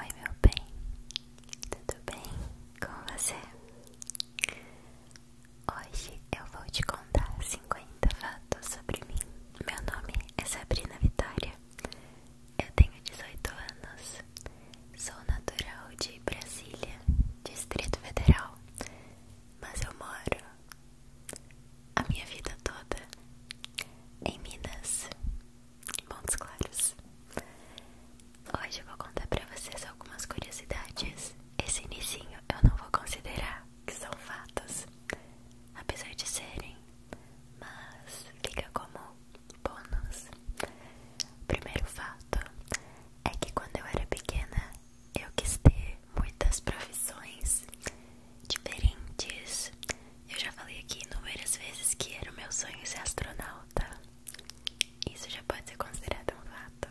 Oi, meu bem, tudo bem com você? Hoje eu vou te contar 50 fatos sobre mim. Meu nome é Sabrina Vitória, eu tenho 18 anos, sou natural de Brasília, Distrito Federal, mas eu moro a minha vida toda em Minas em Montes Claros. Hoje eu vou contar pra vocês algumas curiosidades. Esse início eu não vou considerar que são fatos, apesar de serem, mas fica como bônus. primeiro fato é que quando eu era pequena eu quis ter muitas profissões diferentes. Eu já falei aqui inúmeras vezes que era o meu sonho ser astronauta isso já pode ser considerado um fato.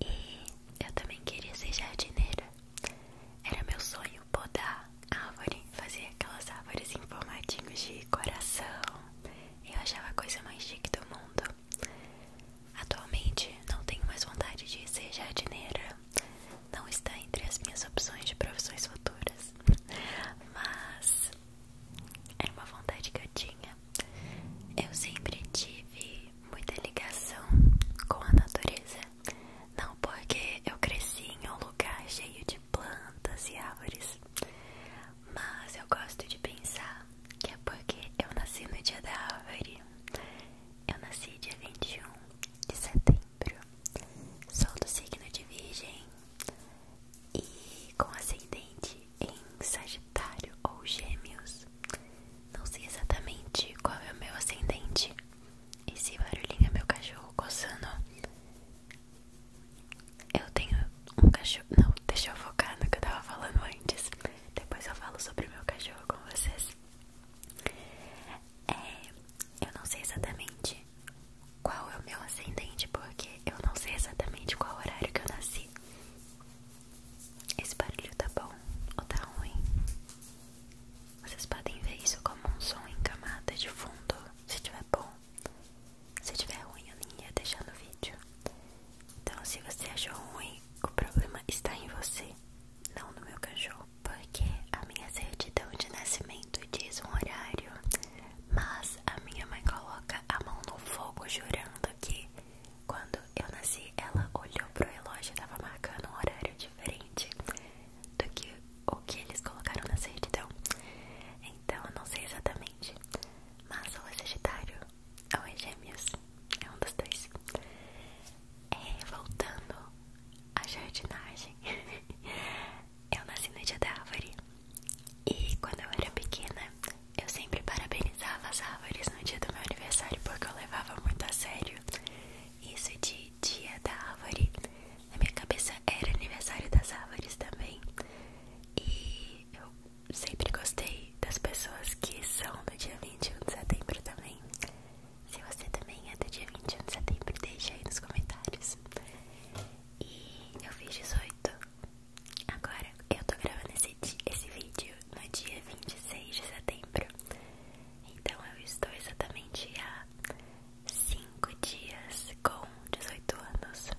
E eu também queria ser jardineira. Era meu sonho podar árvore, fazer aquelas árvores em formatinhos de coração. Eu achava a coisa mais chique do mundo. Atualmente não tenho mais vontade de ser jardineira. Não está entre as minhas opções de profissões futuras. Mas era uma vontade que eu tinha. Eu sempre tive muita ligação com a natureza. Não porque eu cresci em um lugar cheio de plantas e árvores, mas eu gosto de pensar que é porque eu nasci no dia da árvore. Eu nasci dia 21 de setembro. Sou do signo de Virgem. E com ascendente em Sagitário ou Gêmeos. Não sei exatamente qual é o meu ascendente. Esse barulhinho é meu cachorro coçando. Eu tenho um cachorro. Não, deixa eu focar no que eu tava falando antes. Depois eu falo sobre o meu cachorro com vocês. É, eu não sei exatamente qual é o meu ascendente, porque eu não sei exatamente qual horário que eu nasci. Esse barulho tá bom ou tá ruim? Vocês podem ver isso como um som em camada de fundo. Se tiver bom, se tiver ruim, eu nem ia deixar no vídeo. Então, se você achou ruim, o problema está em você, não no meu cachorro. Porque a minha certidão de nascimento diz um horário, mas a minha mãe coloca a mão no fogo jurando que quando eu nasci ela olhou pro relógio e tava marcando um horário diferente do que o que eles colocaram na certidão. Então eu não sei exatamente, mas o Sagitário ou é Gêmeos, é um dos dois. É, voltando à jardinagem, Eu nasci no dia da árvore e quando eu era pequena eu sempre parabenizava as árvores no dia do meu aniversário porque eu levava muito a sério isso de dia da árvore. Na minha cabeça era aniversário das árvores também e eu sempre gostei das pessoas que são do dia 21 de setembro também. Se você também é do dia 21 de setembro, deixa aí nos comentários. E eu fiz 18. Agora eu tô gravando esse, vídeo no dia 26 de setembro. Então eu estou exatamente há 5 dias com 18 anos.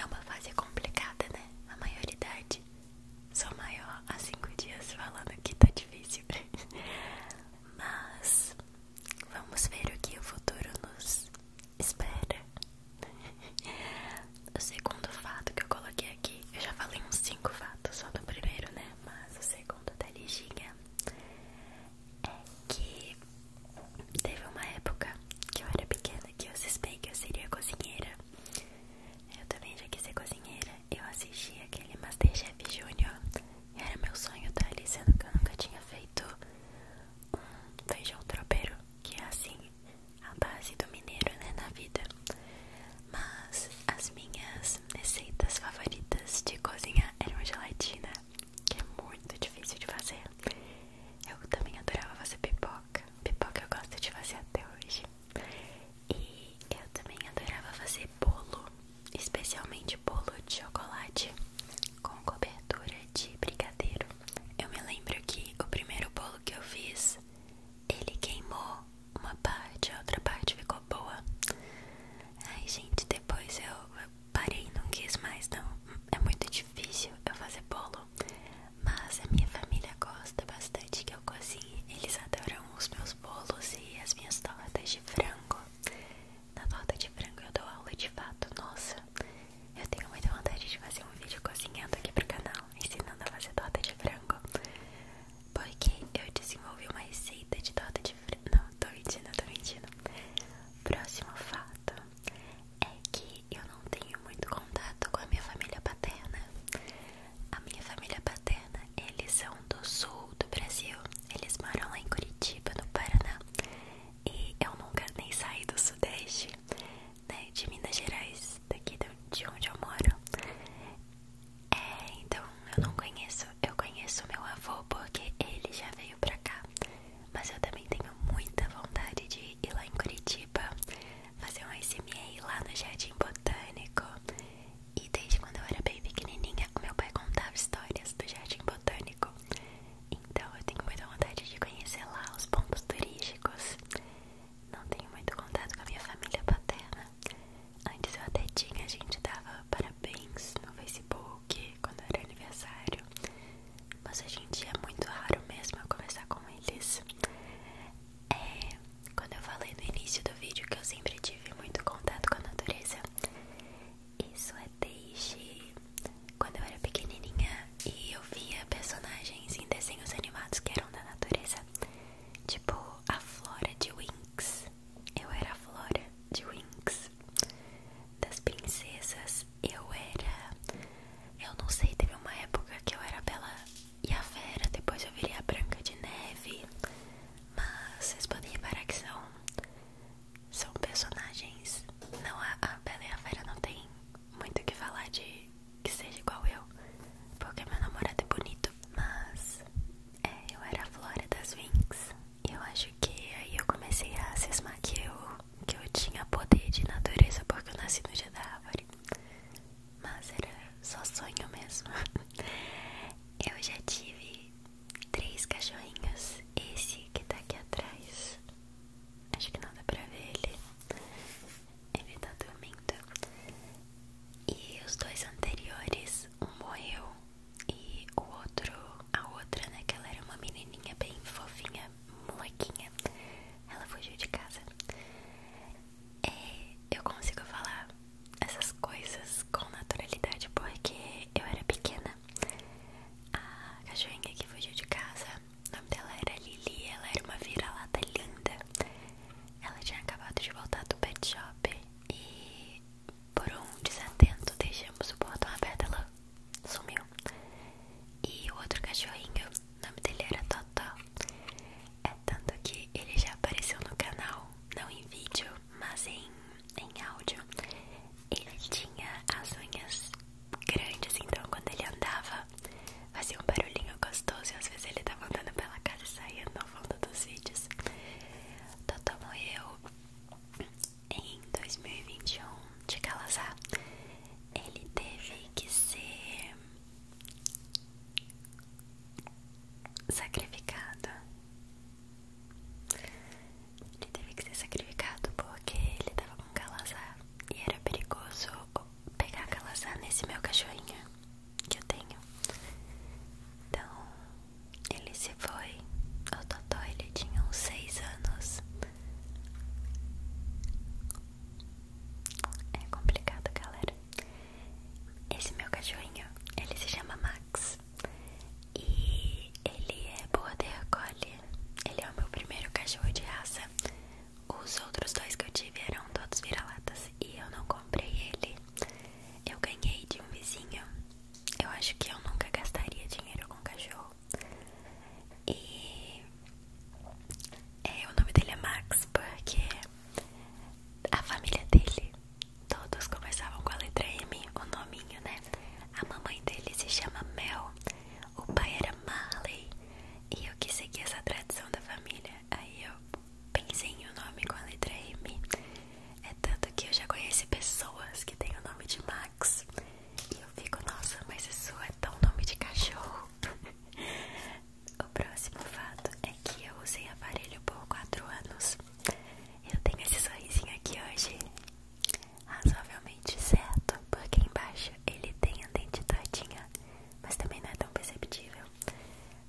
É uma fase complicada, né? A maioridade. Sou maior há 5 dias falando que tá difícil. Mas vamos ver o que o futuro nos Espera. O segundo fato que eu coloquei aqui, eu já falei uns cinco fatos só no primeiro, né? Mas o segundo da Liginha é que teve uma época que eu era pequena que eu suspei que eu seria cozinheira. Eu também já quis ser cozinheira. Eu assisti aquele Masterchef Junior. Era meu sonho, tá? Sendo que eu nunca tinha feito feito um feijão tropeiro, que é assim a base do mineiro, né, na vida. Mas as minhas receitas favoritas de cozinhar eram gelatina, que é muito difícil de fazer. Eu também adorava fazer pipoca. Pipoca eu gosto de fazer até hoje. E eu também adorava fazer bolo, especialmente bolo de chocolate com cobertura de brigadeiro. Eu me lembro que o primeiro bolo que eu fiz, ele queimou uma parte, a outra parte ficou boa. Ai, gente, depois eu, parei, não quis mais, não. É muito difícil eu fazer bolo, mas a minha família gosta bastante que eu cozinhe. Eles adoram os meus bolos e as minhas tortas de frango. Na torta de frango eu dou aula de fato, nossa. Eu tenho muita vontade de fazer um vídeo cozinhando aqui pro canal, ensinando a fazer torta de frango. Porque eu desenvolvi uma receita de torta de frango. Não, tô mentindo, tô mentindo. Próximo fato é que eu não tenho muito contato com a minha família paterna. A minha família paterna, eles são do sul do Brasil. Eles moram lá em Curitiba, no Paraná. E eu nunca nem saí do Sudeste, né? De Minas Gerais, daqui de onde eu moro. É, então eu não conheço. Eu conheço meu avô porque ele já veio pra cá. Mas eu também tenho muita vontade de ir lá em Curitiba, fazer um SMA lá no Jardim Botânico. E desde quando eu era bem pequenininha, o meu pai contava histórias do Jardim Botânico. Então eu tenho muita vontade de conhecer lá os pontos turísticos. Não tenho muito contato com a minha família paterna. Antes eu até tinha, a gente dava parabéns no Facebook quando era aniversário. Mas a gente é muito raro mesmo eu conversar com eles. É, quando eu falei no início do vídeo que eu sempre tive muito contato com a natureza, isso é desde quando eu era pequenininha e eu via personagens em desenhos animados que eram da natureza, tipo a Flora de Wings, Eu era a Flora de Wings, Das princesas, eu era. Eu não sei, teve uma época que eu era a Bela e a Fera, depois eu virei a Branca de Neve. Mas vocês podem reparar que são. São personagens. Não, a, a Bela e a Fera não tem muito o que falar de que seja igual eu, porque meu namorado é bonito, mas é, eu era a Flora das Winx. E eu acho que aí eu comecei a cismar que eu, que eu tinha poder de natureza porque eu nasci no dia da árvore. Mas era só sonho mesmo. Eu já tive três cachorrinhos. Esse que tá aqui atrás Acho que não dá pra ver ele. Ele tá dormindo. E os dois anteriores, um morreu e o outro, a outra, né? Que ela era uma menininha bem fofinha, molequinha. Ela fugiu de casa. É, eu consigo falar essas coisas com naturalidade porque eu era pequena. A cachorrinha que fugiu de casa o nome dela era Lili, ela era uma vira-lata linda. Ela tinha acabado de voltar do pet shop e, por um desatento, deixamos o portão aberto. Ela sumiu. E o outro cachorrinho, o nome dele era Totó. É tanto que ele já apareceu no canal, não em vídeo, mas em, em áudio. Ele tinha as unhas grandes, então quando ele andava fazia um barulhinho gostoso e às vezes ele tava andando pela casa e saía no fundo dos vídeos. Totó morreu em 2021 de Calazá Ele teve que ser sacrificado. Ele teve que ser sacrificado porque ele tava um calazar e era perigoso pegar calazar nesse meu cachorrinho que eu tenho. Então ele se foi. O Totó ele tinha uns 6 anos. É complicado, galera. Esse meu cachorrinho, ele se chama Max. E ele é border collie. Ele é o meu primeiro cachorro de raça. Os outros dois que eu tive eram todos vira-latas e eu não comprei ele. Eu ganhei de um vizinho. Eu acho que eu nunca gastaria dinheiro com cachorro. E é, o nome dele é Max porque a família dele todos começavam com a letra M, o nominho, né? A mamãe dele se chama Mel, o pai era Marley e eu quis seguir essa tradição da família. Aí eu pensei em um nome com a letra M. É tanto que eu já conheci pessoas que têm o nome de Max. E eu fico, nossa, mas isso é tão nome de cachorro. o próximo fato é que eu usei aparelho por 4 anos. Eu tenho esse sorrisinho aqui hoje, razoavelmente certo. Porque embaixo ele tem a dente todinha Mas também não é tão perceptível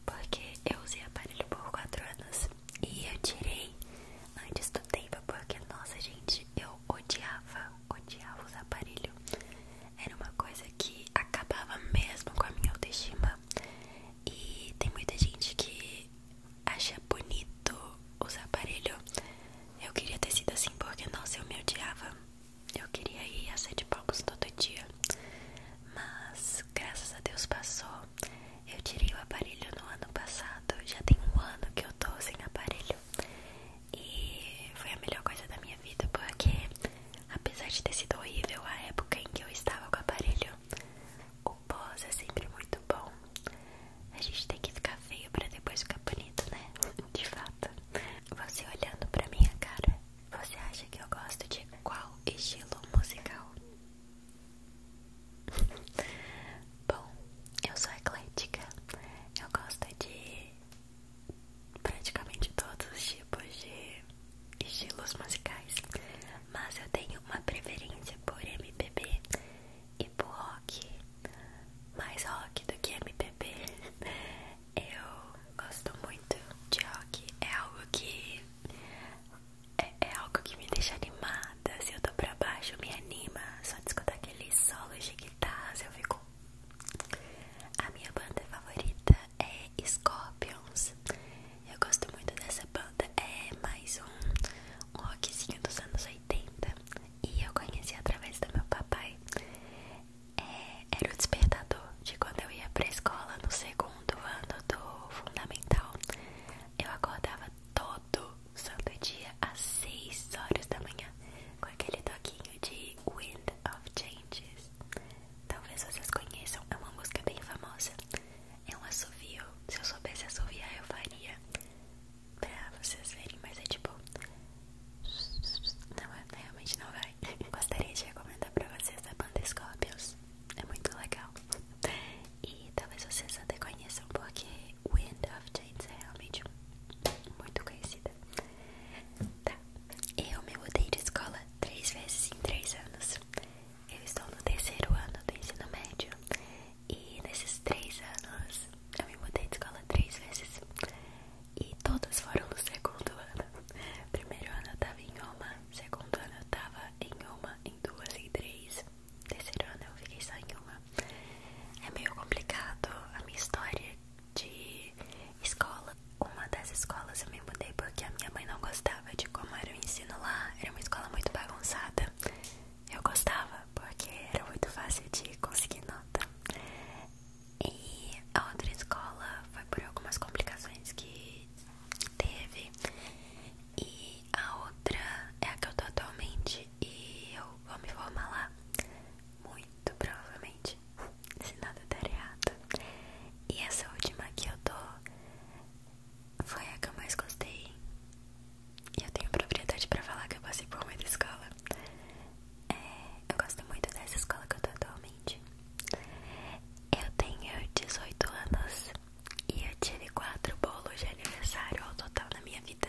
Porque eu usei aparelho por 4 anos E eu tirei antes do tempo Porque, nossa gente, eu odiava, odiava usar aparelho. Era uma coisa que acabava mesmo com a minha autoestima E tem muita gente que acha bonito usar aparelho. eu queria ter sido assim porque, nossa, eu me odiava eu queria ir a sete palcos todo dia, mas graças a Deus passou. Eu tirei o aparelho no ano passado, já tem um ano que eu tô sem aparelho e foi a melhor coisa da minha vida porque, apesar de ter sido horrível a época em que eu estava com o aparelho, o pós é sempre muito bom. A gente tem que ficar feio pra depois ficar bonito, né? De fato. Você olhando pra minha cara, você acha que eu gosto de qual estilo musical? Bom, eu sou eclética. Eu gosto de praticamente todos os tipos de estilos musicais, mas eu tenho uma preferência por MPB e por rock. Mais rock do que MPB. Eu gosto muito de rock, é algo que é, é, algo que me deixa animada. Se eu tô pra baixo, me anima. Só de escutar aqueles solos de guitarra se eu fico. A minha banda favorita é Scorpions. Eu gosto muito dessa banda. É mais um, um rockzinho dos anos 80. E eu conheci através do meu papai. É, era o despertador de quando eu ia pra escola no segundo ano do fundamental. Eu acordava todo santo dia às seis horas da manhã com aquele toquinho de Wind of Changes. Talvez vocês conheçam, é uma música bem famosa. É um assovio. Se eu soubesse assoviar, eu faria pra vocês verem, mas é tipo. Não, é, é, realmente não vai. Gostaria de recomendar pra vocês a banda Scorpions. É muito legal. E talvez vocês até conheçam, porque Wind of Change é realmente muito conhecida. Tá. Eu me mudei de escola três vezes em três anos. Eu estou no terceiro ano do ensino médio. E nesses três anos eu me mudei de escola três vezes. E todas foram no segundo ano. Primeiro ano eu tava em uma, segundo ano eu tava em uma, em duas, em três. Terceiro ano eu fiquei só em uma. É meio complicado a minha história de escola. Uma das escolas eu me mudei porque a minha mãe não gostava de como era o ensino lá. Era uma escola muito bagunçada. Eu gostava porque era muito fácil de conseguir nota. E a outra escola foi por algumas complicações que teve. E a outra é a que eu tô atualmente. E eu vou me formar lá. Muito provavelmente. Se nada der errado. E essa última que eu tô foi a que eu mais gostei. E eu tenho propriedade pra falar que eu passei por muita escola. É, eu gosto muito dessa escola que eu tô atualmente. Eu tenho 18 anos e eu tive 4 bolos de aniversário ao total na minha vida.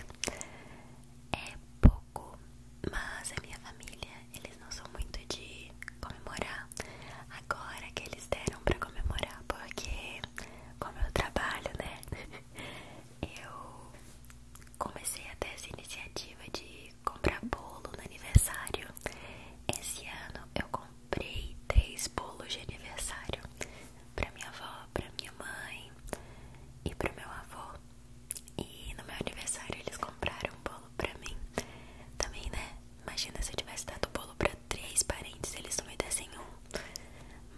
É pouco, mas a minha família, eles não são muito de comemorar. Agora que eles deram pra comemorar, porque como eu trabalho, né? Eu comecei até essa iniciativa de comprar bolo no aniversário. Esse ano eu comprei três bolos de aniversário para minha avó, para minha mãe e para meu avô. E no meu aniversário eles compraram um bolo para mim. Também, né? Imagina se eu tivesse dado bolo para três parentes, eles não me dessem um.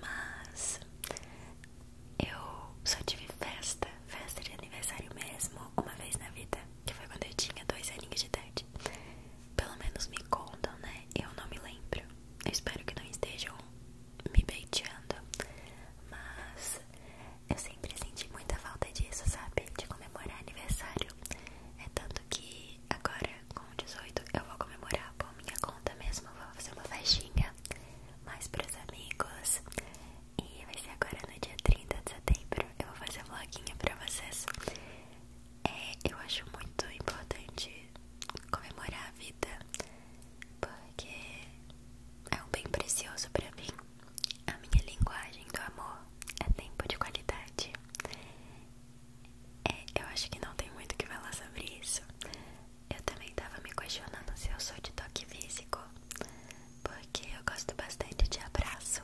Mas eu só tive festa festa de aniversário mesmo uma vez na vida, que foi quando eu tinha dois aninhos de idade. Pelo menos me contam, né? Eu não me lembro. Eu espero que não estejam me beiteando, mas eu sempre senti muita falta disso, sabe? De comemorar aniversário. É tanto que agora, com 18, eu vou comemorar por minha conta mesmo. Vou fazer uma festinha mais para os amigos. E vai ser agora no dia 30 de setembro. Eu vou fazer um vloguinho pra vocês. É, eu acho muito importante comemorar a vida, porque é um bem precioso pra mim. A minha linguagem do amor é tempo de qualidade. É, eu acho que não tem muito o que falar sobre isso. Eu também tava me questionando se eu sou de toque físico porque eu gosto bastante de abraço.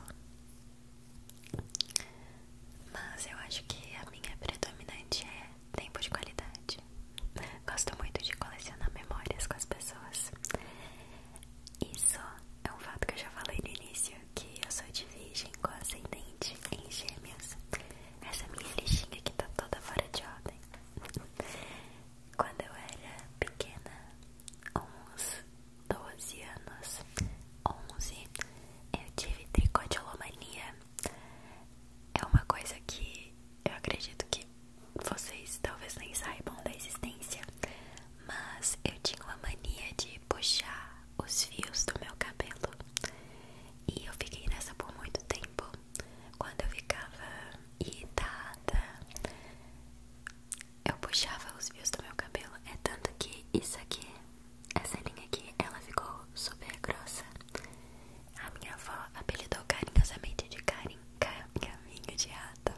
Mas eu acho que a minha predominante é tempo de qualidade. Gosto muito de colecionar memórias com as pessoas. Isso é um fato que eu já falei no início, que eu sou de virgem com ascendente em gêmeos. Essa minha lixinha aqui tá toda fora de ordem. Quando eu era pequena, uns 12 anos, 11, eu tive tricodiolomania. É uma coisa que eu acredito que vocês talvez nem saibam da existência, mas eu tinha uma mania de puxar os fios do meu cabelo. E eu fiquei nessa por muito tempo. Quando eu ficava irritada, eu puxava os fios do meu cabelo. É tanto que isso aqui, essa linha aqui, ela ficou super grossa. A minha avó apelidou carinhosamente de Karin, caminho de ato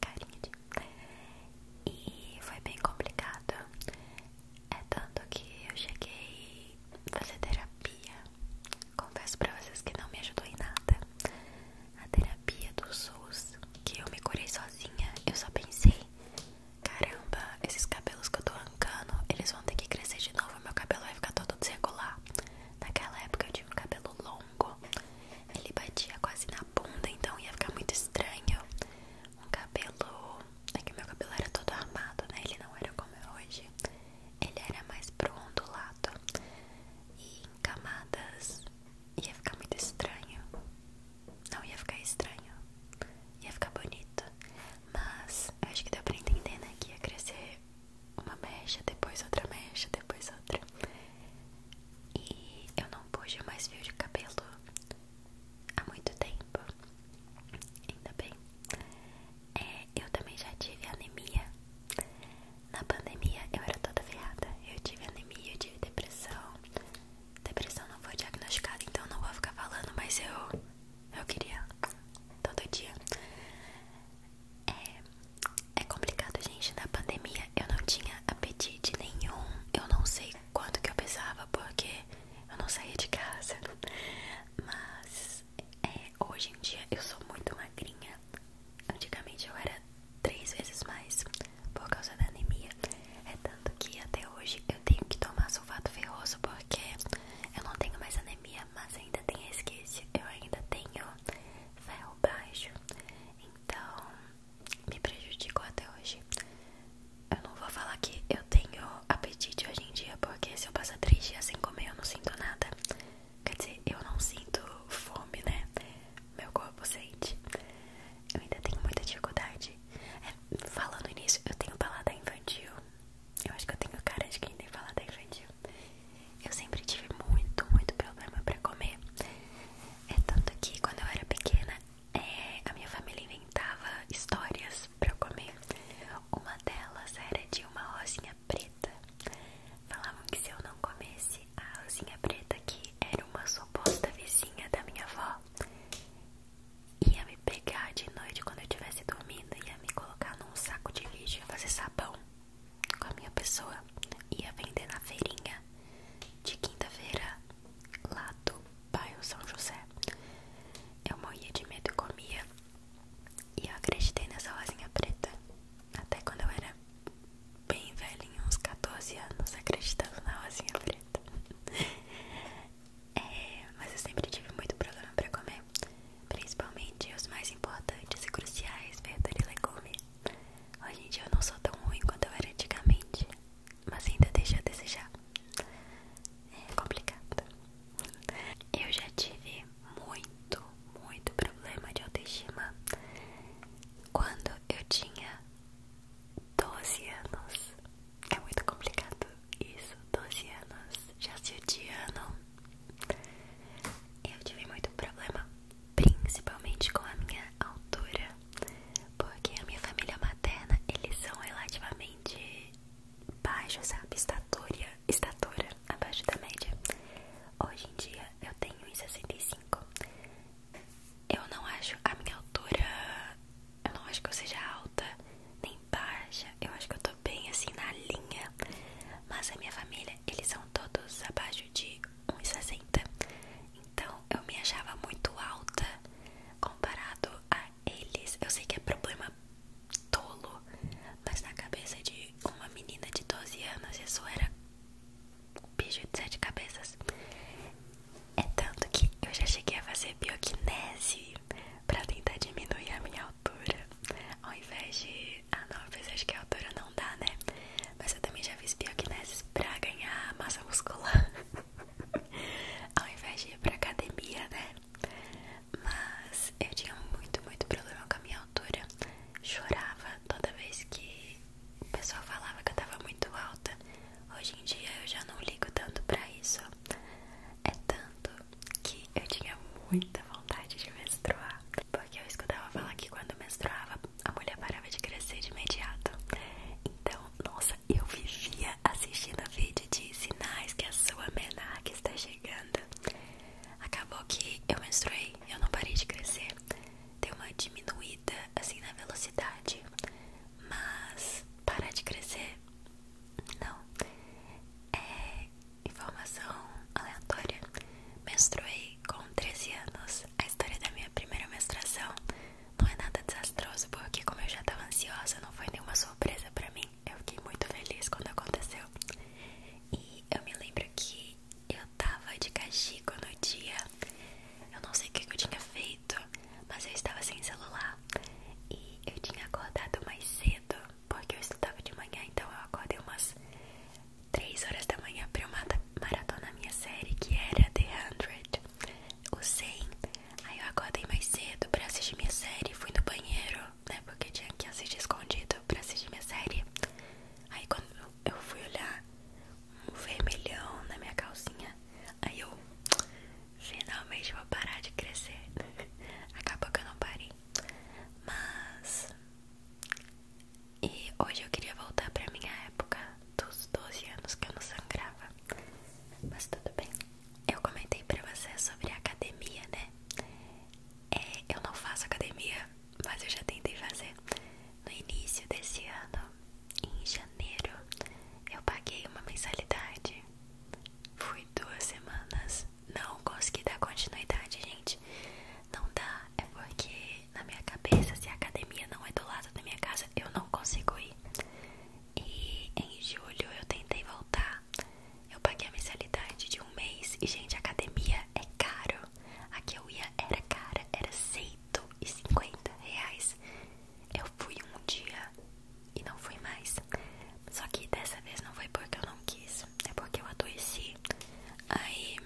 carinho E foi bem complicado. É tanto que eu cheguei a fazer terapia. Confesso pra vocês que não me ajudou em nada a terapia do SUS, que eu me curei sozinha, eu só pensei, caramba, esses cabelos que eu tô arrancando, eles vão ter que crescer de novo, meu cabelo vai ficar todo desregular. Naquela época eu tinha um cabelo longo, ele batia quase na bunda, então ia ficar muito estranho. Um cabelo, é que meu cabelo era todo armado, né? Ele não era como é hoje. Ele era mais pro ondulado e em camadas ia ficar muito estranho. Não ia ficar estranho. Ia ficar bonito. Mas acho que deu pra entender, né? Que ia crescer uma mecha, depois outra mecha, depois outra. E eu não puxo mais fio de cabelo há muito tempo. Ainda bem. É, eu também já tive anemia. Na pandemia eu era toda ferrada. Eu tive anemia, eu tive depressão. Depressão não foi diagnosticada, então não vou ficar falando, mas eu eu queria todo dia. É, é complicado, gente. Na pandemia eu não tinha apetite nenhum. Eu não sei quanto que eu pesava porque eu não saía de casa. Mas é, hoje em dia eu sou muito magrinha. Antigamente eu era três vezes mais por causa da anemia. É tanto que até hoje eu tenho que tomar sulfato ferroso porque eu não tenho mais anemia, mas ainda tem resquício. Eu ainda tenho ferro baixo, então me prejudicou até hoje. Eu não vou falar que eu tenho apetite hoje em dia, porque se eu passar três dias sem comer eu não sinto nada. Quer dizer, eu não sinto fome, né? meu corpo sente. Eu ainda tenho muita dificuldade. É, falando início, eu tenho paladar infantil. Eu acho que eu tenho cara de quem tem paladar infantil. Eu sempre tive muito, muito problema pra comer. É tanto que quando eu era pequena, é, a minha família inventava histórias pra eu comer. Uma delas era de uma rosinha preta. Falavam que se eu não comesse a rosinha preta, aqui era uma suposta vizinha da minha avó ia me pegar de noite quando eu estivesse dormindo, ia me colocar num saco de lixo, ia fazer sabão com a minha pessoa, ia vender na feirinha de quinta-feira lá do bairro São José. Eu morria de medo e comia. E eu acreditei nessa rosinha preta até quando eu era bem velhinho, uns 14 anos, acreditando na rosinha preta. É, mas eu sempre tive muito problema pra comer, principalmente os mais importantes e cruciais, verdura e legume. Hoje em dia eu não sou tão ruim quanto eu era antigamente, mas ainda deixa a desejar. É complicado. Eu já tive muito, muito problema de autoestima quando eu tinha 12 anos. É muito complicado isso. 12 anos já se odiando. Eu tive muito problema, principalmente com a minha altura, porque a minha família materna eles são relativamente baixos, sabe? Estatura, estatura abaixo da média. Hoje em dia eu tenho 1,65 eu não acho a minha altura. Eu não acho que eu seja alta nem baixa. Eu acho que eu tô bem assim na linha. Mas a minha família, eles são todos abaixo de 1,60. Então eu me achava muito alta comparado a eles. Eu sei que é problema tolo, mas na cabeça de uma menina de 12 anos isso era bicho de sete cabeças. É tanto que eu já cheguei a fazer bioquinese pra tentar diminuir a minha altura. Ao invés de. Ah, não, eu fiz, que a altura não dá, né? Mas eu também já fiz bioquineses pra ganhar massa muscular. Ao invés de ir pra academia, né? Mas eu tinha muito, muito problema com a minha altura. Chorava toda vez que o pessoal falava que eu tava muito alta. Hoje em dia eu já não ligo tanto pra isso. É tanto que eu tinha muita vontade de menstruar. Porque eu escutava falar que quando menstruava a mulher parava de crescer de imediato. Então, nossa, eu vivia assistindo a vídeo de sinais que a sua menarca está chegando. Acabou que eu menstruei, eu não parei de crescer. Deu uma diminuída assim na velocidade. Mas parar de crescer, não. É informação aleatória. Menstruei com 13 anos. A história da minha primeira menstruação não é nada desastroso, porque como eu já tava ansiosa, não foi nenhuma surpresa pra mim. Eu fiquei muito feliz quando aconteceu. E eu me lembro que eu tava de castigo no dia eu não sei o que eu tinha feito, mas eu estava sem celular e eu tinha acordado mais cedo, porque eu estudava de manhã, então eu acordei umas 3 horas da manhã pra eu maratona a minha série, que era The 100, o 100. Aí eu acordei mais cedo pra assistir minha série, fui no banheiro, né, porque tinha que assistir escondido pra assistir minha série. Aí quando eu fui olhar, um vermelhão na minha calcinha. Aí eu finalmente vou parar de crescer. Acabou que eu não parei. Mas. E hoje eu queria voltar pra minha época dos 12 anos que eu não sangrava. Mas tudo bem. Eu comentei pra você sobre academia, né? É, eu não faço academia, mas eu já tentei fazer. No início desse ano, em janeiro, eu paguei uma mensalidade. Fui duas semanas, não consegui dar continuidade, gente. Não dá, é porque na minha cabeça, se a academia não é do lado da minha casa, eu não consigo ir. E em julho eu tentei voltar. Eu paguei a mensalidade de um mês e, gente, academia é caro. A que eu ia era cara, era 150 reais. Eu fui um dia e não fui mais. Só que dessa vez não foi porque eu não quis, é porque eu adoeci. Aí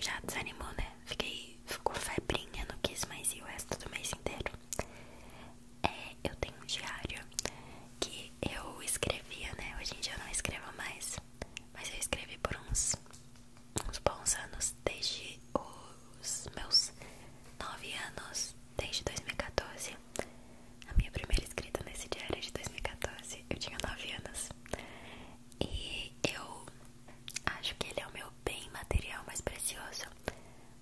já desanimou, né? Fiquei, ficou febrinha, não quis mais ir o resto do mês inteiro. É, eu tenho um diário que eu escrevia, né? Hoje em dia eu não escrevo mais, mas eu escrevi por uns uns bons anos, desde os meus 9 anos, desde 2014. A minha primeira escrita nesse diário é de 2014, eu tinha 9 anos. E eu acho que ele é o meu bem material mais precioso,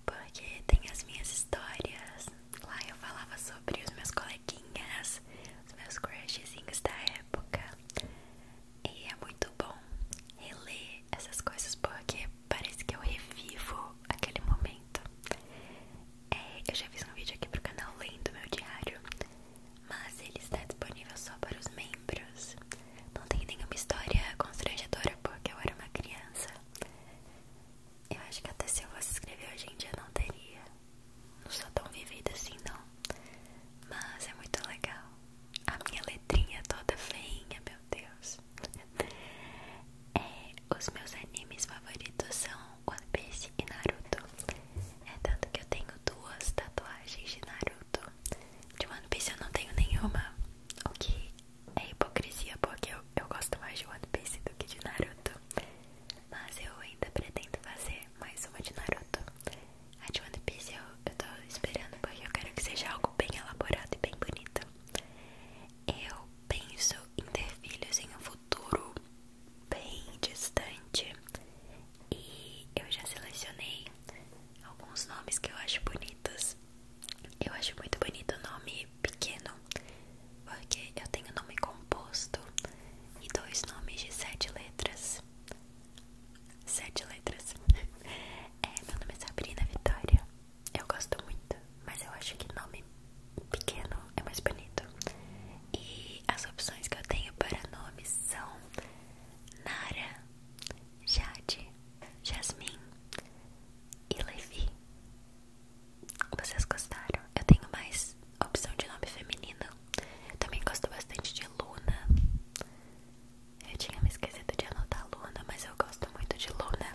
porque tem as minhas histórias. Lá eu falava sobre os meus coleguinhas, os meus crushzinhos da época. E é muito bom reler essas coisas porque parece que eu revivo aquele momento. É, eu já fiz um vídeo aqui pro canal lendo meu diário, mas ele está disponível só para os membros. Não tem nenhuma história constrangedora porque eu era uma criança. Eu acho que até se eu fosse escrever hoje em dia não teria. Não sou tão vivida assim, não. Mas é muito legal. A minha letrinha toda feinha, meu Deus. É, os meus animes favoritos são One Piece e Naruto. É tanto que eu tenho duas tatuagens de Naruto. De One Piece eu não tenho nenhuma. O que é hipocrisia, porque eu, eu gosto mais de One Piece do que de Naruto. Mas eu ainda pretendo fazer mais uma de Naruto. A de One Piece eu eu tô esperando porque eu quero que seja algo bem elaborado e bem bonito. Eu penso em ter filhos em um futuro bem distante e eu já selecionei alguns nomes que eu acho bonitos. Eu acho muito bonito o nome pequeno, porque eu tenho nome composto e dois nomes de sete letras. Sete letras. É, meu nome é Sabrina Vitória. Eu gosto muito, mas eu acho que nome pequeno é mais bonito. E as opções que eu tenho para nomes são Nara, Jade, Jasmine e Levi. Vocês gostaram? Eu tenho mais opção de nome feminino. Eu também gosto bastante de Luna. Eu tinha me esquecido de anotar Luna, mas eu gosto muito de Luna.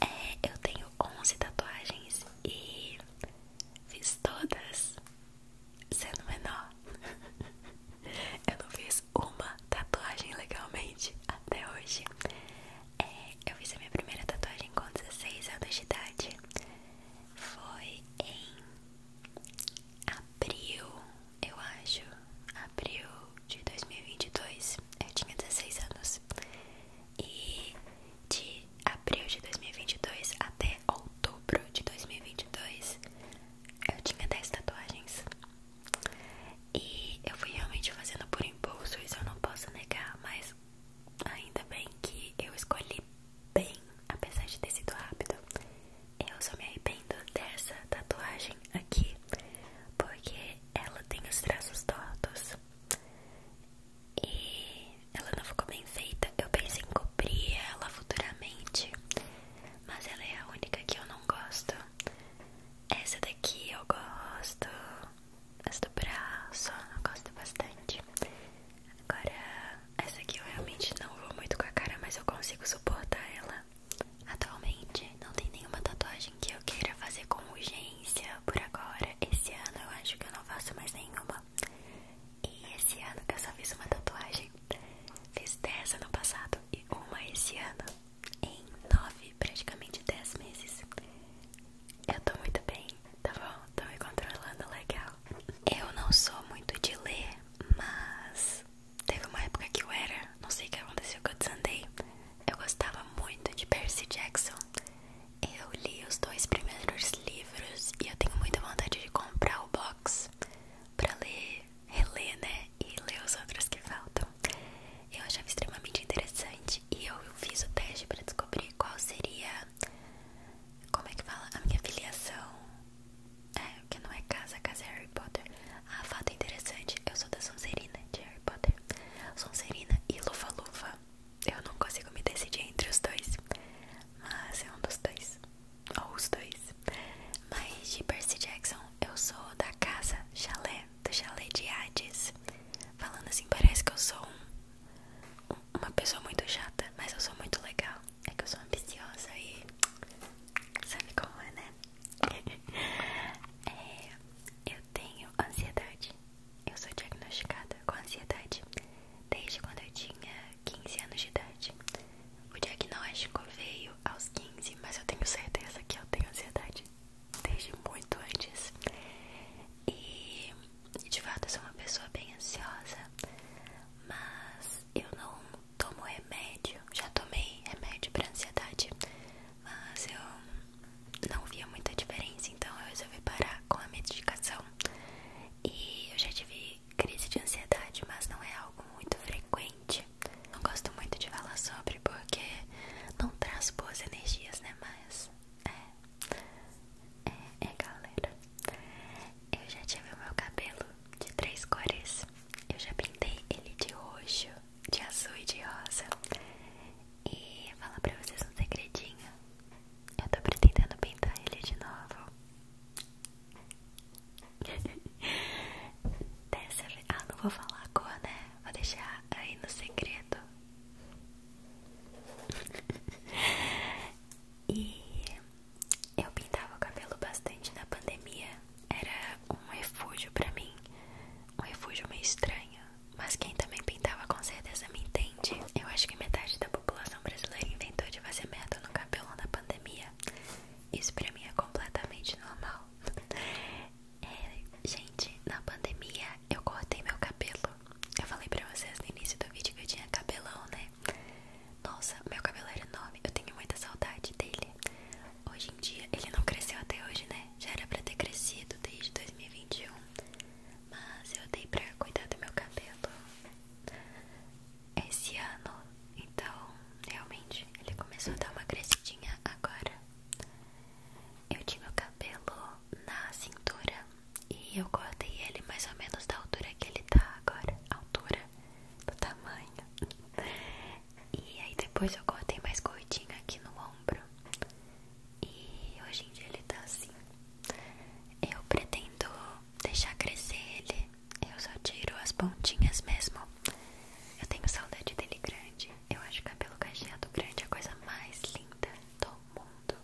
É, eu tenho 11 tatuagens e fiz todas sendo menor. eu não fiz uma tatuagem legalmente até hoje. É, eu fiz a minha primeira tatuagem com 16 anos de idade. Foi em abril eu acho, abril de 2022. Eu tinha 16 anos. E de abril de 2022 até outubro de 2022, eu tinha 10 tatuagens. E eu fui realmente fazendo por impulso, isso eu não posso negar, mas ainda bem que eu escolhi bem, apesar de ter sido rápido. Eu só me arrependo dessa tatuagem aqui, porque ela tem os traços tortos e ela não ficou bem feita. Eu pensei em cobrir ela futuramente, mas ela é a única que eu não gosto. Essa daqui eu gosto, essa do braço eu gosto bastante. Agora, essa aqui eu realmente não vou muito com a cara, mas eu consigo suportar ela. Atualmente não tem nenhuma tatuagem que eu queira fazer com urgência por agora. Esse ano eu acho que eu não faço mais nenhuma. E esse ano eu só fiz uma tatuagem. Fiz 10 ano passado e uma esse ano. Em 9, praticamente 10 meses. Eu tô muito bem, tá bom? Tô me controlando legal. Eu não sou muito de ler, mas Teve uma época que eu era, não sei o que aconteceu que eu desandei. Eu gostava muito de Percy Jackson. Eu li os dois primeiros livros e eu tenho muita vontade de comprar o box pra ler, reler, né? E ler os outros que faltam. Eu achava extremamente interessante e eu fiz o teste pra descobrir qual seria. Como é que fala? A minha filiação. É, que não é casa, casa é Harry Potter. Ah, fato interessante, eu sou da Sonserina de Harry Potter. Sonserina e Lufa-Lufa. Eu não consigo me decidir entre os dois, mas é um dos dois, ou os dois. Mas de Percy Jackson, eu sou da casa Chalé, do Chalé de Hades. Falando assim, parece que eu sou uma pessoa muito chata, mas eu sou muito legal. É que eu sou ambiciosa e sabe como é, né? É, eu tenho ansiedade. Eu sou diagnosticada com ansiedade desde quando eu tinha 15 anos de idade. O diagnóstico veio aos 15, mas eu tenho certeza que eu tenho ansiedade desde muito antes. E de fato eu sou uma pessoa bem ansiosa, mas eu não tomo remédio. Já tomei remédio para ansiedade, mas eu não via muita diferença, então eu resolvi parar com a medicação. E eu já tive crise de ansiedade, mas não é algo muito frequente. Não gosto muito de falar sobre porque não traz boas energias, né? Mas é, é, é galera. Eu já tive o meu cabelo de três cores. Eu já pintei ele de roxo, de azul e de rosa e falar pra vocês um segredinho. Eu tô pretendendo pintar ele de novo. Dessa vez. Ah, não vou falar a cor, né? Vou deixar aí no segredo. e eu pintava o cabelo bastante na pandemia era um refúgio para mim, um refúgio meio estranho. Mas quem também pintava com certeza me entende. Eu acho que metade da população brasileira inventou de fazer meta no cabelo na pandemia. Isso pra mim é completamente normal. É, gente, na pandemia eu cortei meu cabelo. Eu falei pra vocês no início do vídeo que eu tinha cabelão, né? Nossa, meu cabelo era enorme. Eu tenho muita saudade dele. Hoje em dia, ele não cresceu até hoje, né? Já era pra ter crescido desde 2021. Mas eu dei pra cuidar do meu cabelo esse ano. Então, realmente, ele começou a dar uma crescidinha agora. Eu tinha o cabelo na cintura e eu cortei ele mais ou menos da altura que ele tá agora. Altura do tamanho. E aí depois eu cortei mais curtinho aqui no ombro. E hoje em dia ele tá assim. Eu pretendo deixar crescer ele. Eu só tiro as pontinhas mesmo. Eu tenho saudade dele grande. Eu acho cabelo cacheado grande a coisa mais linda do mundo.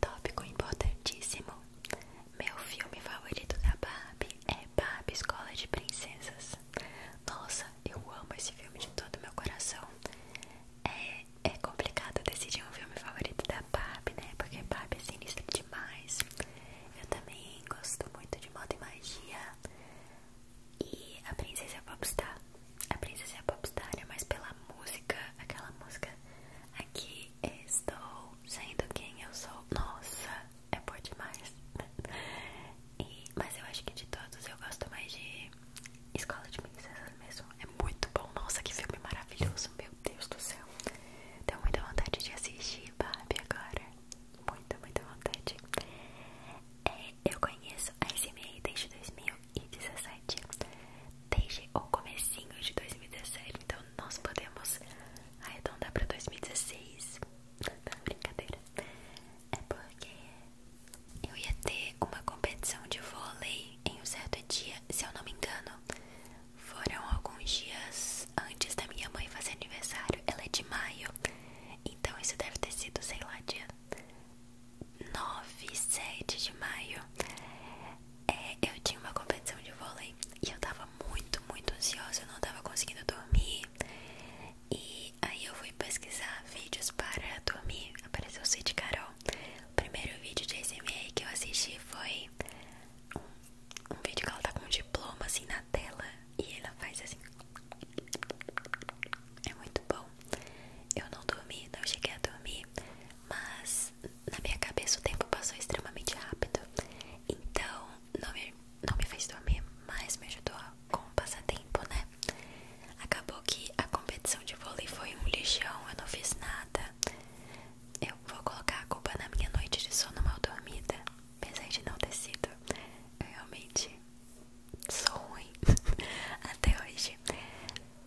Tópico importantíssimo. Meu filme favorito da Barbie é Barbie Escola de Princesas. Nossa, eu amo esse filme de todo meu coração. É, é complicado decidir um filme favorito da Barbie, né? Porque Barbie é sinistra demais. Eu também gosto muito de moda e magia. E a Princesa Popstar. A Princesa Popstar é mais pela música, aquela música. Aqui estou sendo quem eu sou. Nossa, é boa demais mas eu acho que de todos eu gosto mais de Escola de Princesas mesmo. É muito bom. Nossa, que filme maravilhoso. Meu Deus do céu. Tenho muita vontade de assistir Barbie agora. Muita, muita vontade. É, eu conheço a SMA desde 2017. Desde o começo de 2017. Então nós podemos arredondar pra 2016. Não, brincadeira. É porque eu ia ter uma competição de vôlei em um certo dia, se eu não me engano. Foram alguns dias antes da minha mãe fazer aniversário. Ela é de maio, então isso deve ter sido, sei lá, dia 9, 7 de maio. É, eu tinha uma competição de vôlei e eu tava muito, muito ansiosa. Eu não tava conseguindo dormir. E aí eu fui pesquisar vídeos para dormir. Apareceu o site Carol. O primeiro vídeo de ASMR que eu assisti foi um, vídeo que ela tá com um diploma assim na tela. E ela faz assim. É muito bom. Eu não dormi, não cheguei a dormir. Mas na minha cabeça o tempo passou extremamente rápido. Então não me, não me fez dormir, mas me ajudou como o passatempo, né? Acabou que a competição de vôlei foi um lixão, eu não fiz nada. Eu vou colocar a culpa na minha noite de sono mal dormida, apesar de não ter sido. Eu realmente sou ruim até hoje.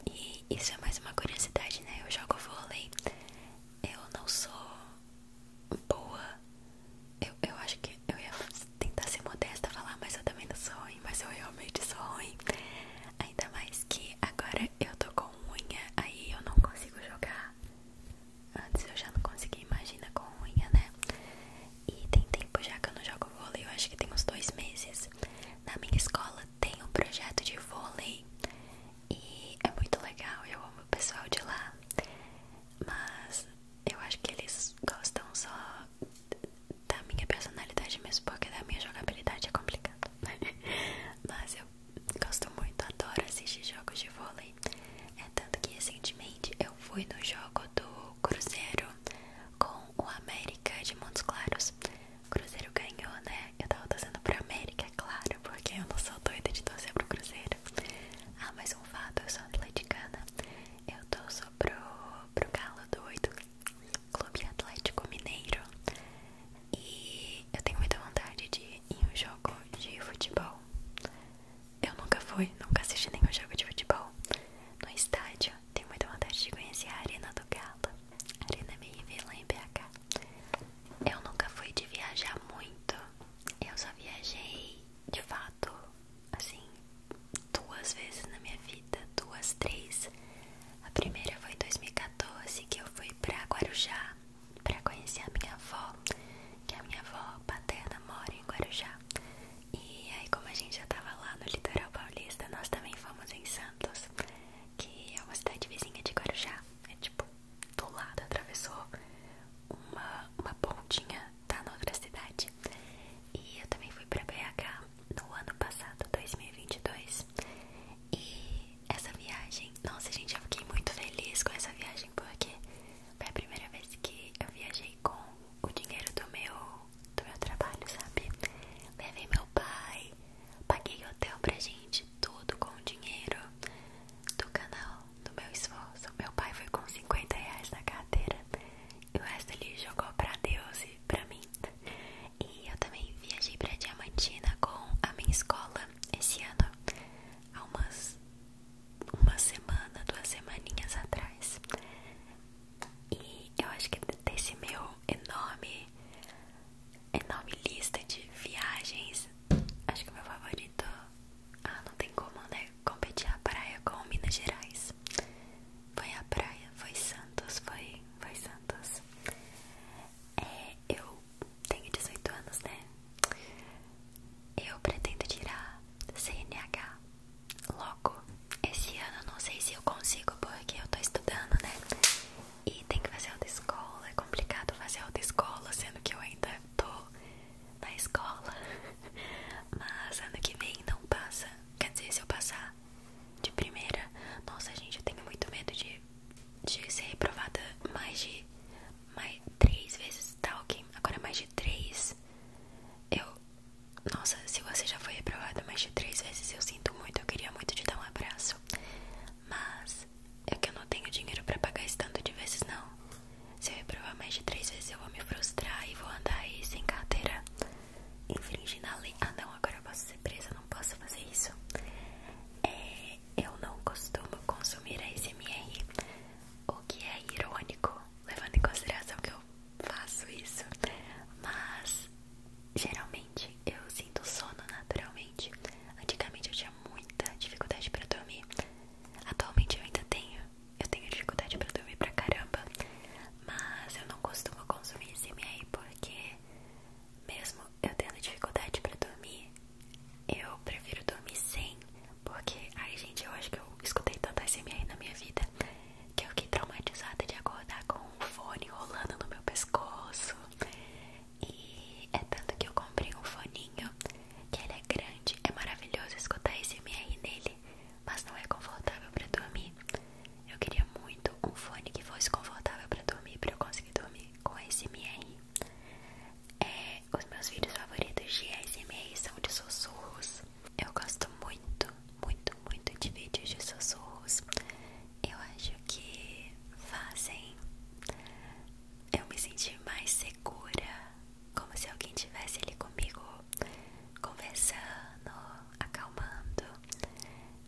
E isso é mais uma curiosidade, né? Eu jogo vôlei, eu não sou boa. Eu, eu acho que eu ia tentar ser modesta e falar, mas eu também não sou ruim, mas eu realmente sou ruim. Ainda mais que agora eu tô com unha, aí eu não consigo jogar. Antes eu já não conseguia, imaginar com unha, né? E tem tempo já que eu não jogo vôlei, eu acho que tem uns dois meses. Na minha escola tem um projeto de vôlei e é muito legal, eu amo o pessoal de lá. Mas eu acho que eles gostam só da minha personalidade mesmo, porque da minha jogabilidade é complicado. Mas eu gosto muito, adoro assistir jogos de vôlei. É tanto que recentemente eu fui no jogo do Cruzeiro com o América de Montes Claros. Cruzeiro ganhou, né? Eu tava torcendo pro América, é claro, porque eu não sou doida de torcer pro Cruzeiro. Ah, mais um fato, eu sou atleticana. Eu torço pro pro Galo Doido, Clube Atlético Mineiro. E eu tenho muita vontade de ir em um jogo de futebol. Eu nunca fui, nunca assisti nenhum jogo de futebol no estádio. Tenho muita vontade de conhecer a Arena do Galo, Arena BIV lá em BH. Eu nunca fui de viajar muito. Eu só viajei de fato assim, duas vezes na minha vida, duas, três. A primeira foi em 2014 que eu fui pra Guarujá para conhecer a minha avó, que a minha avó paterna mora em Guarujá. E aí, como a gente já tava lá no litoral paulista, nós também fomos em Santos, que é uma cidade vizinha de Guarujá. É tipo, do lado atravessou uma, uma pontinha tá na cidade. E eu também fui pra BH no ano passado, 2022. E essa viagem, nossa gente, eu fiquei muito feliz com essa viagem porque foi a primeira vez que eu viajei com o dinheiro do meu, do meu trabalho, sabe? Levei meu pai, paguei hotel pra gente, tudo com o dinheiro do canal, do meu esforço. Meu pai foi com 50 reais na carteira. E o resto ele jogou pra Deus e pra mim. E eu também viajei pra Diamantina com a minha escola esse ano, há umas uma semana, duas semaninhas atrás. E eu acho que desse meu enorme, enorme lista de viagens, acho que o meu favorito. Ah, não tem como, né? Competir a praia com Minas Gerais. Foi a praia, foi Santos, foi, foi Santos. É, eu tenho 18 anos, né? Eu pretendo tirar CNH logo. Esse ano não sei se eu consigo, porque eu tô estudando, né? E tem que fazer outra escola, é complicado fazer outra escola sendo que eu ainda tô na escola. Mas ano que vem não passa. Quer dizer, se eu passar, de primeira. Nossa, gente, eu tenho muito medo de, de ser reprovada mais de mais, três vezes, tá Agora mais de três. Eu. Nossa, se você já foi reprovada mais de três vezes, eu sinto muito. Eu queria muito te dar um abraço. Mas é que eu não tenho dinheiro pra pagar esse tanto de vezes, não. Se eu reprovar mais de três vezes, eu vou me frustrar e vou andar aí sem carteira infringindo na lei. Ah, não, agora eu posso ser presa, não posso fazer isso. É, eu não costumo consumir a SMR, o que é irônico, levando em consideração que eu faço isso, mas geralmente eu sinto sono naturalmente. Antigamente eu tinha muita dificuldade para dormir. Atualmente eu ainda tenho. Eu tenho dificuldade para dormir pra caramba. Mas eu não costumo consumir CMA porque, mesmo eu tendo dificuldade para dormir, eu prefiro dormir sem. Porque, ai gente, eu acho que eu escutei tanta CMA na minha vida que eu fiquei traumatizada de acordar com um fone rolando no meu pescoço. E é tanto que eu comprei um foninho que ele é grande, é maravilhoso escutar esse MR nele mas não é confortável para dormir. Eu queria muito um fone que fosse confortável para dormir, para eu conseguir dormir com SMR. É, os meus vídeos favoritos de SMR são de sussurros. Eu gosto muito, muito, muito de vídeos de sussurros. Eu acho que fazem eu me sentir mais segura, como se alguém estivesse ali comigo, conversando, acalmando.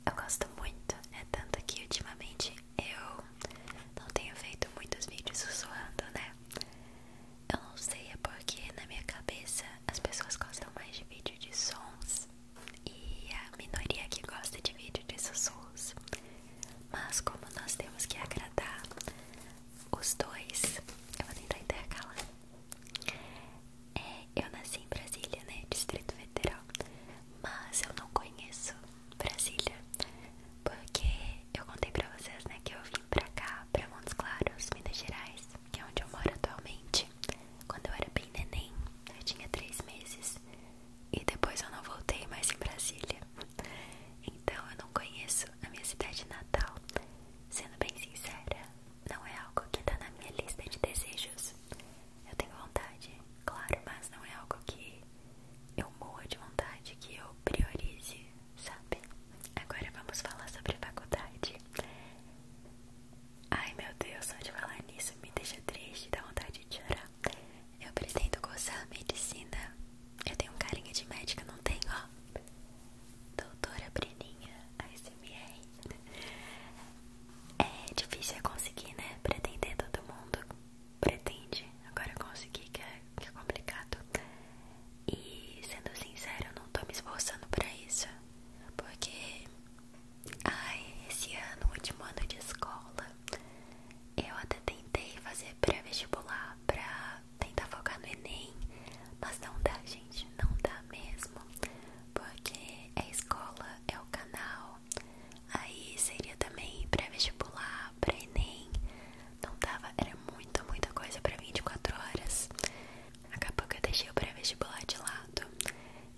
Eu gosto muito, é tanto que ultimamente eu não tenho feito muitos vídeos sussurrando, né? Eu não sei, é porque na minha cabeça as pessoas gostam mais de vídeo de sons e a minoria que gosta de vídeo de sussurros. Mas como nós temos que agradar os dois, eu vou tentar intercalar. É, eu nasci em Brasília, né? Distrito Federal. Mas eu não conheço Brasília. Porque eu contei pra vocês, né? Que eu vim pra cá, pra Montes Claros, Minas Gerais, que é onde eu moro atualmente. Quando eu era bem neném, eu tinha três meses. E depois eu não voltei mais em Brasília. Então eu não conheço a minha cidade natal. Sendo bem sincera, não é algo que tá na minha lista de desejos. Eu tenho vontade, claro, mas não é algo que eu morra de vontade, que eu priorize, sabe? Agora vamos falar sobre faculdade. Ai meu Deus, só de falar nisso me deixa triste, dá vontade de chorar. Eu pretendo cursar medicina. Eu tenho um carinha de médica, não tenho, ó. Doutora Breninha, ASMR. É difícil é conseguir, né? Pretender todo mundo pretende. Agora conseguir é, que, é, complicado. E sendo sincero, eu não tô me esforçando pra isso. Porque ai, esse ano, último ano de escola, eu até tentei fazer pré-vestibular pra tentar focar no Enem. Mas não dá, gente não dá mesmo, porque a é escola é o canal. Aí seria também pré-vestibular, pré-ENEM. Não dava, era muita, muita coisa pra 24 horas. Acabou que eu deixei o pré-vestibular de lado.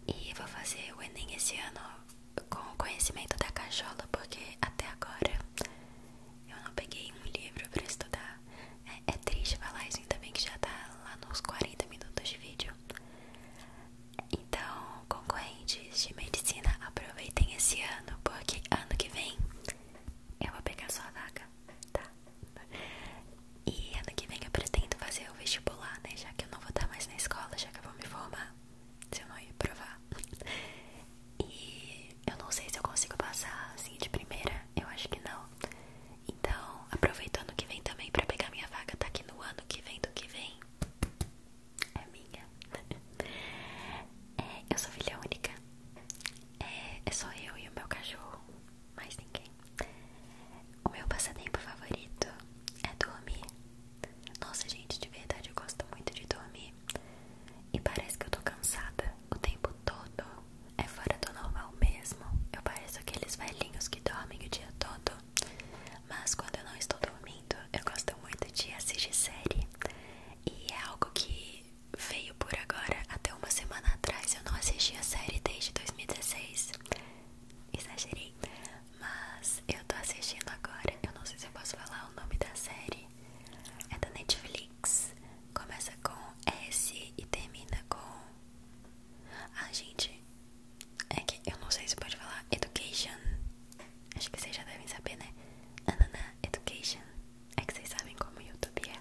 E vou fazer o Enem esse ano com o conhecimento da cachola, porque até agora eu não peguei um livro pra estudar. É, é triste falar isso, ainda que já tá lá nos 40 minutos de vídeo. Então, concorrentes de medicina, aproveitem esse ano, porque ano que vem eu vou pegar sua vaga, tá? E ano que vem eu pretendo fazer o vestibular, né? Já que eu não vou estar mais na escola, já que eu vou me formar, se eu não ir provar. E eu não sei se eu consigo passar assim de primeira, eu acho que não. Então, aproveitando que vem também pra pegar minha vaga, tá aqui no ano que vem do que vem. É minha. É, eu sou filha única. É, é só eu e o meu cachorro, mais ninguém. O meu passatempo favorito é dormir. Nossa, gente, de verdade eu gosto muito de dormir. E parece que eu tô cansada o tempo todo. É fora do normal mesmo. Eu pareço aqueles velhinhos que dormem o dia todo. Mas quando eu não estou dormindo, eu gosto muito de assistir série. E é algo que veio por agora. Até uma semana atrás eu não assisti a série desde 2016. Exagerei. Mas eu tô assistindo agora. Eu não sei se eu posso falar o nome da série. É da Netflix. Começa com S e termina com. Ah, gente, é que eu não sei se pode falar education. Acho que vocês já devem saber, né? Anana Education. É que vocês sabem como o YouTube é.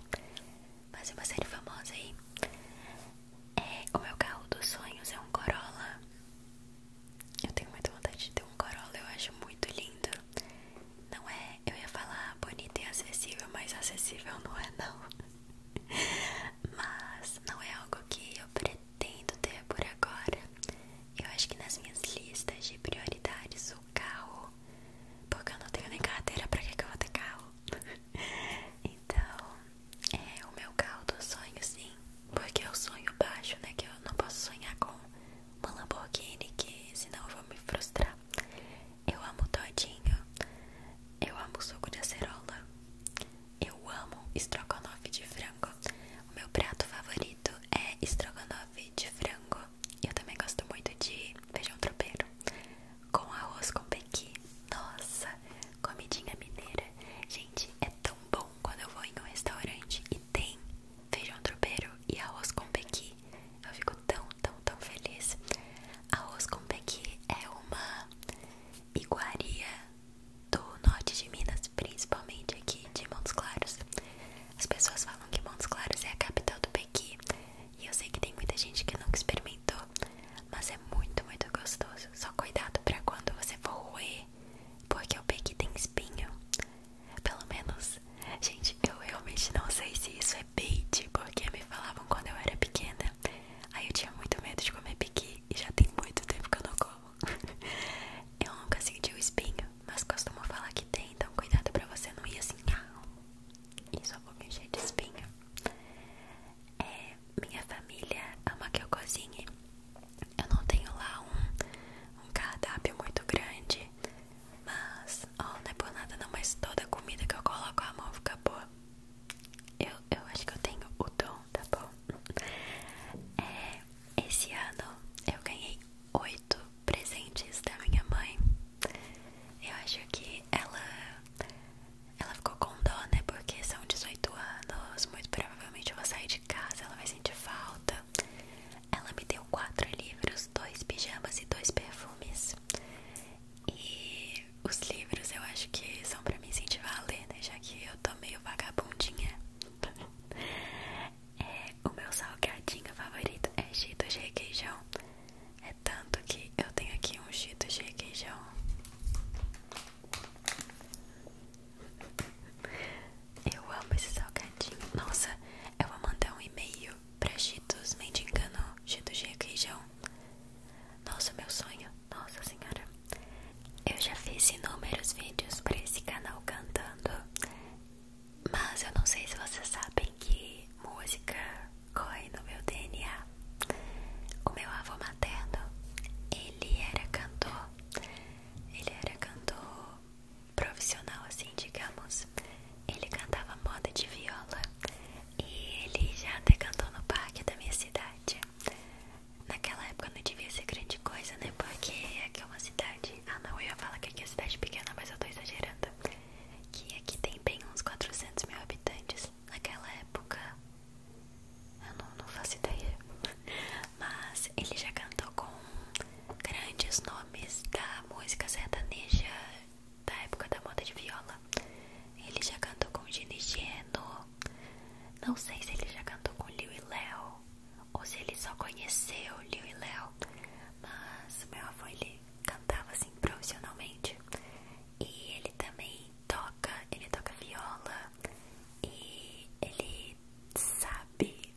Mas é uma série famosa aí. É, o meu carro dos sonhos é um Corolla. Eu tenho muita vontade de ter um Corolla, eu acho muito lindo. Não é, eu ia falar bonito e acessível, mas acessível não é não. Mas não é algo que eu pretendo ter por agora. Eu acho que nas minhas listas de prioridades o carro, porque eu não tenho nem carteira, pra que, eu vou ter carro? então, é o meu carro do sonho, sim. Porque eu é sonho baixo, né? Que eu não posso sonhar com uma Lamborghini, que senão eu vou me frustrar. Eu amo todinho. Eu amo suco de acerola. Eu amo estrogonofe de frango. O meu prato favorito é estrogonofe de frango. Eu também gosto muito de feijão tropeiro com arroz com pequi. Nossa, comidinha mineira. Gente, é tão bom quando eu vou em um restaurante e tem feijão tropeiro e arroz com pequi. Eu fico tão, tão, tão feliz. Arroz com pequi é uma iguaria do norte de Minas, principalmente aqui de Montes Claros. As pessoas falam que Montes Claros é a capital do Pequi, e eu sei que tem muita gente que nunca experimentou, mas é muito, muito gostoso. Só cuidado para quando você for roer, porque o Pequi tem espinho. Pelo menos, gente, eu realmente não sei se isso é bait, porque me falavam quando eu era pequena Aí eu tinha muito medo de comer piqui e já tem muito tempo que eu não como. eu nunca senti o espinho, mas costumo falar que tem, então cuidado pra você não ir assim. Ah, e só comer cheio de espinho. É, minha família ama que eu cozinhe. Eu não tenho lá um, um cardápio muito grande, mas, não é por nada não, mas toda comida que eu coloco a mão fica boa. Eu, eu acho que eu tenho o dom, tá bom? É, esse ano eu ganhei oito presentes da minha mãe. Eu acho que ela, ela ficou com dó, né? Porque são 18 anos, muito provavelmente eu vou sair de casa, ela vai sentir falta. Ela me deu quatro livros, dois pijamas e dois perfumes. E os livros eu acho que são pra me sentir valer né? Já que eu tô meio vagabundinha. É, o meu salgadinho favorito é Cheetos de requeijão. É tanto que eu tenho aqui um Cheetos de requeijão. Eu amo esse salgadinho. Nossa, eu vou mandar um e-mail pra Cheetos mendigando Cheetos de requeijão. Nossa, meu sonho, nossa senhora. Eu já fiz inúmeros vídeos para esse canal cantando, mas eu não sei se vocês sabem que música corre no meu DNA. O meu avô materno, ele era cantor, ele era cantor profissional, assim, digamos. Ele cantava moda de viola e ele já até cantou no parque da minha cidade. Naquela época não devia ser grande coisa, né? Porque aqui é uma cidade. Ah, não, eu ia falar que aqui é cidade pequena, mas eu tô exagerando. Que aqui tem bem uns 400 mil habitantes. Naquela época. Eu não, faço ideia. Mas ele já cantou com grandes nomes da música sertaneja da época da moda de viola. Ele já cantou com Gini Geno, não sei se ele já cantou com Liu e Léo ou se ele só conheceu Liu e Léo, mas meu avô ele cantava assim profissionalmente e ele também toca, ele toca viola e ele sabe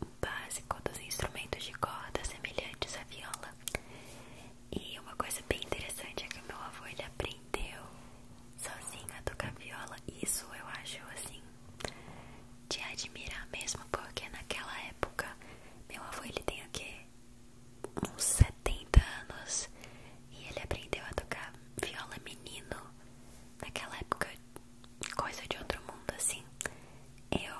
o básico dos instrumentos de corda semelhantes à viola. E uma coisa bem interessante é que o meu avô ele aprende aprendeu sozinho a tocar viola. Isso eu acho assim de admirar mesmo, porque naquela época meu avô ele tem o quê? Uns 70 anos e ele aprendeu a tocar viola menino. Naquela época, coisa de outro mundo assim. Eu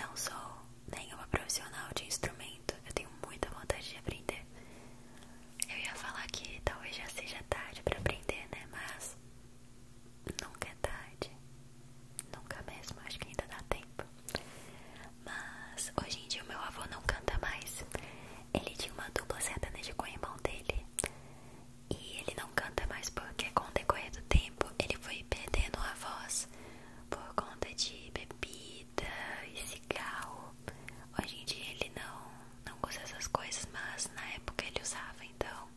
não sou nenhuma profissional de instrumento, eu tenho muita vontade de aprender. Eu ia falar que talvez já seja tarde pra aprender, né? Mas nunca é tarde. Nunca mesmo, acho que ainda dá tempo. Mas hoje em dia o meu avô não canta mais. Ele tinha uma dupla sertaneja com o irmão dele. E ele não canta mais porque com o decorrer do tempo ele foi perdendo a voz por conta de bebida e cigarro. Hoje em dia ele não, não usa essas coisas, mas na época ele usava, então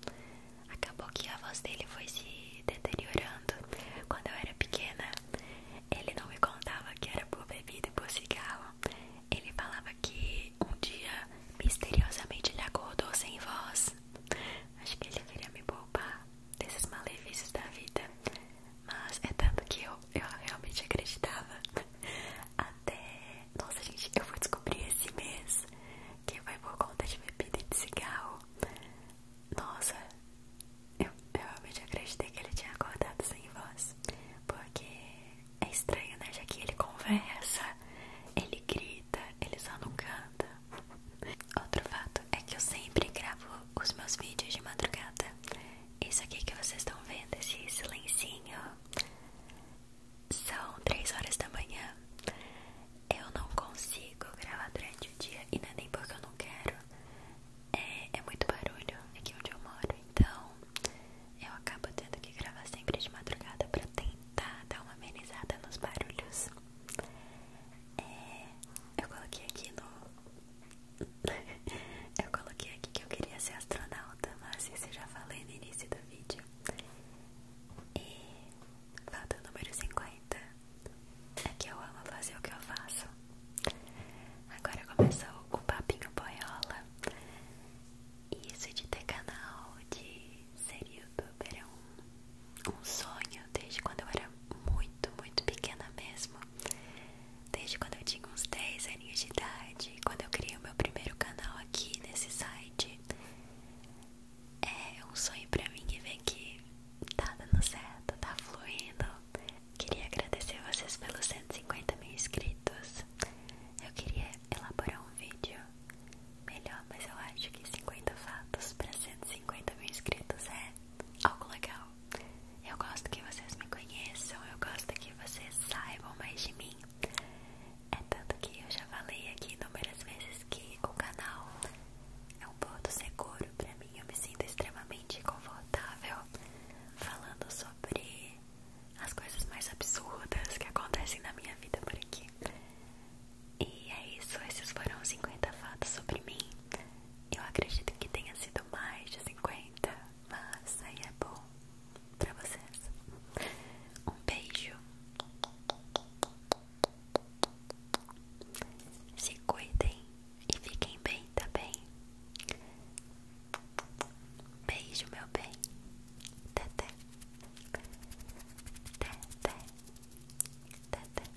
acabou que a voz dele foi se deteriorando. Quando eu era pequena, ele não me contava que era por bebida e por cigarro. Ele falava que um dia misteriosamente ele acordou sem voz. Acho que ele queria me poupar desses malefícios da vida. Mas é tanto que eu, eu realmente acreditava até. Nossa, gente, eu vou descobrir esse mês que vai por conta de bebida e de cigarro. Nossa, eu, realmente acreditei que ele tinha acordado sem voz. Porque é estranho, né? Já que ele conversa, ele grita, ele só não canta. Outro fato é que eu sempre gravo os meus vídeos de madrugada. Isso aqui que vocês estão vendo, esse silencinho. São três horas da manhã. Eu não consigo gravar durante o dia e não é nem porque eu não quero. É, é, muito barulho aqui onde eu moro, então eu acabo tendo que gravar sempre de madrugada pra tentar dar uma amenizada nos barulhos. É, eu coloquei aqui no. eu coloquei aqui que eu queria ser astronauta, mas isso eu já falei no início do vídeo. E fato número 50 é que eu amo fazer o que eu faço. Agora começou o papinho boiola. Isso de ter canal, de ser youtuber é um, um sonho desde quando eu era muito, muito pequena mesmo. Desde quando eu tinha uns 10 galerinha de idade, quando eu criei o meu primeiro canal aqui nesse site, é um sonho pra mim ver que tá dando certo, tá fluindo. Queria agradecer vocês pelos 150 mil inscritos. Eu queria elaborar um vídeo melhor, mas eu acho que 50 fatos pra 150 mil inscritos é algo legal. Eu gosto que vocês me conheçam, eu gosto que vocês saibam mais de mim. É tanto que eu já falei aqui inúmeras vezes que o canal é um ponto seguro pra mim. Eu me sinto extremamente confortável falando sobre as coisas mais absurdas que acontecem na minha vida por aqui. E é isso, esses foram 50 fatos sobre mim. Eu acredito que tenha sido mais de 50, mas aí é bom bom pra vocês. Um beijo. Se cuidem e fiquem bem, tá bem? Beijo, meu bem. Teté. Teté. Teté.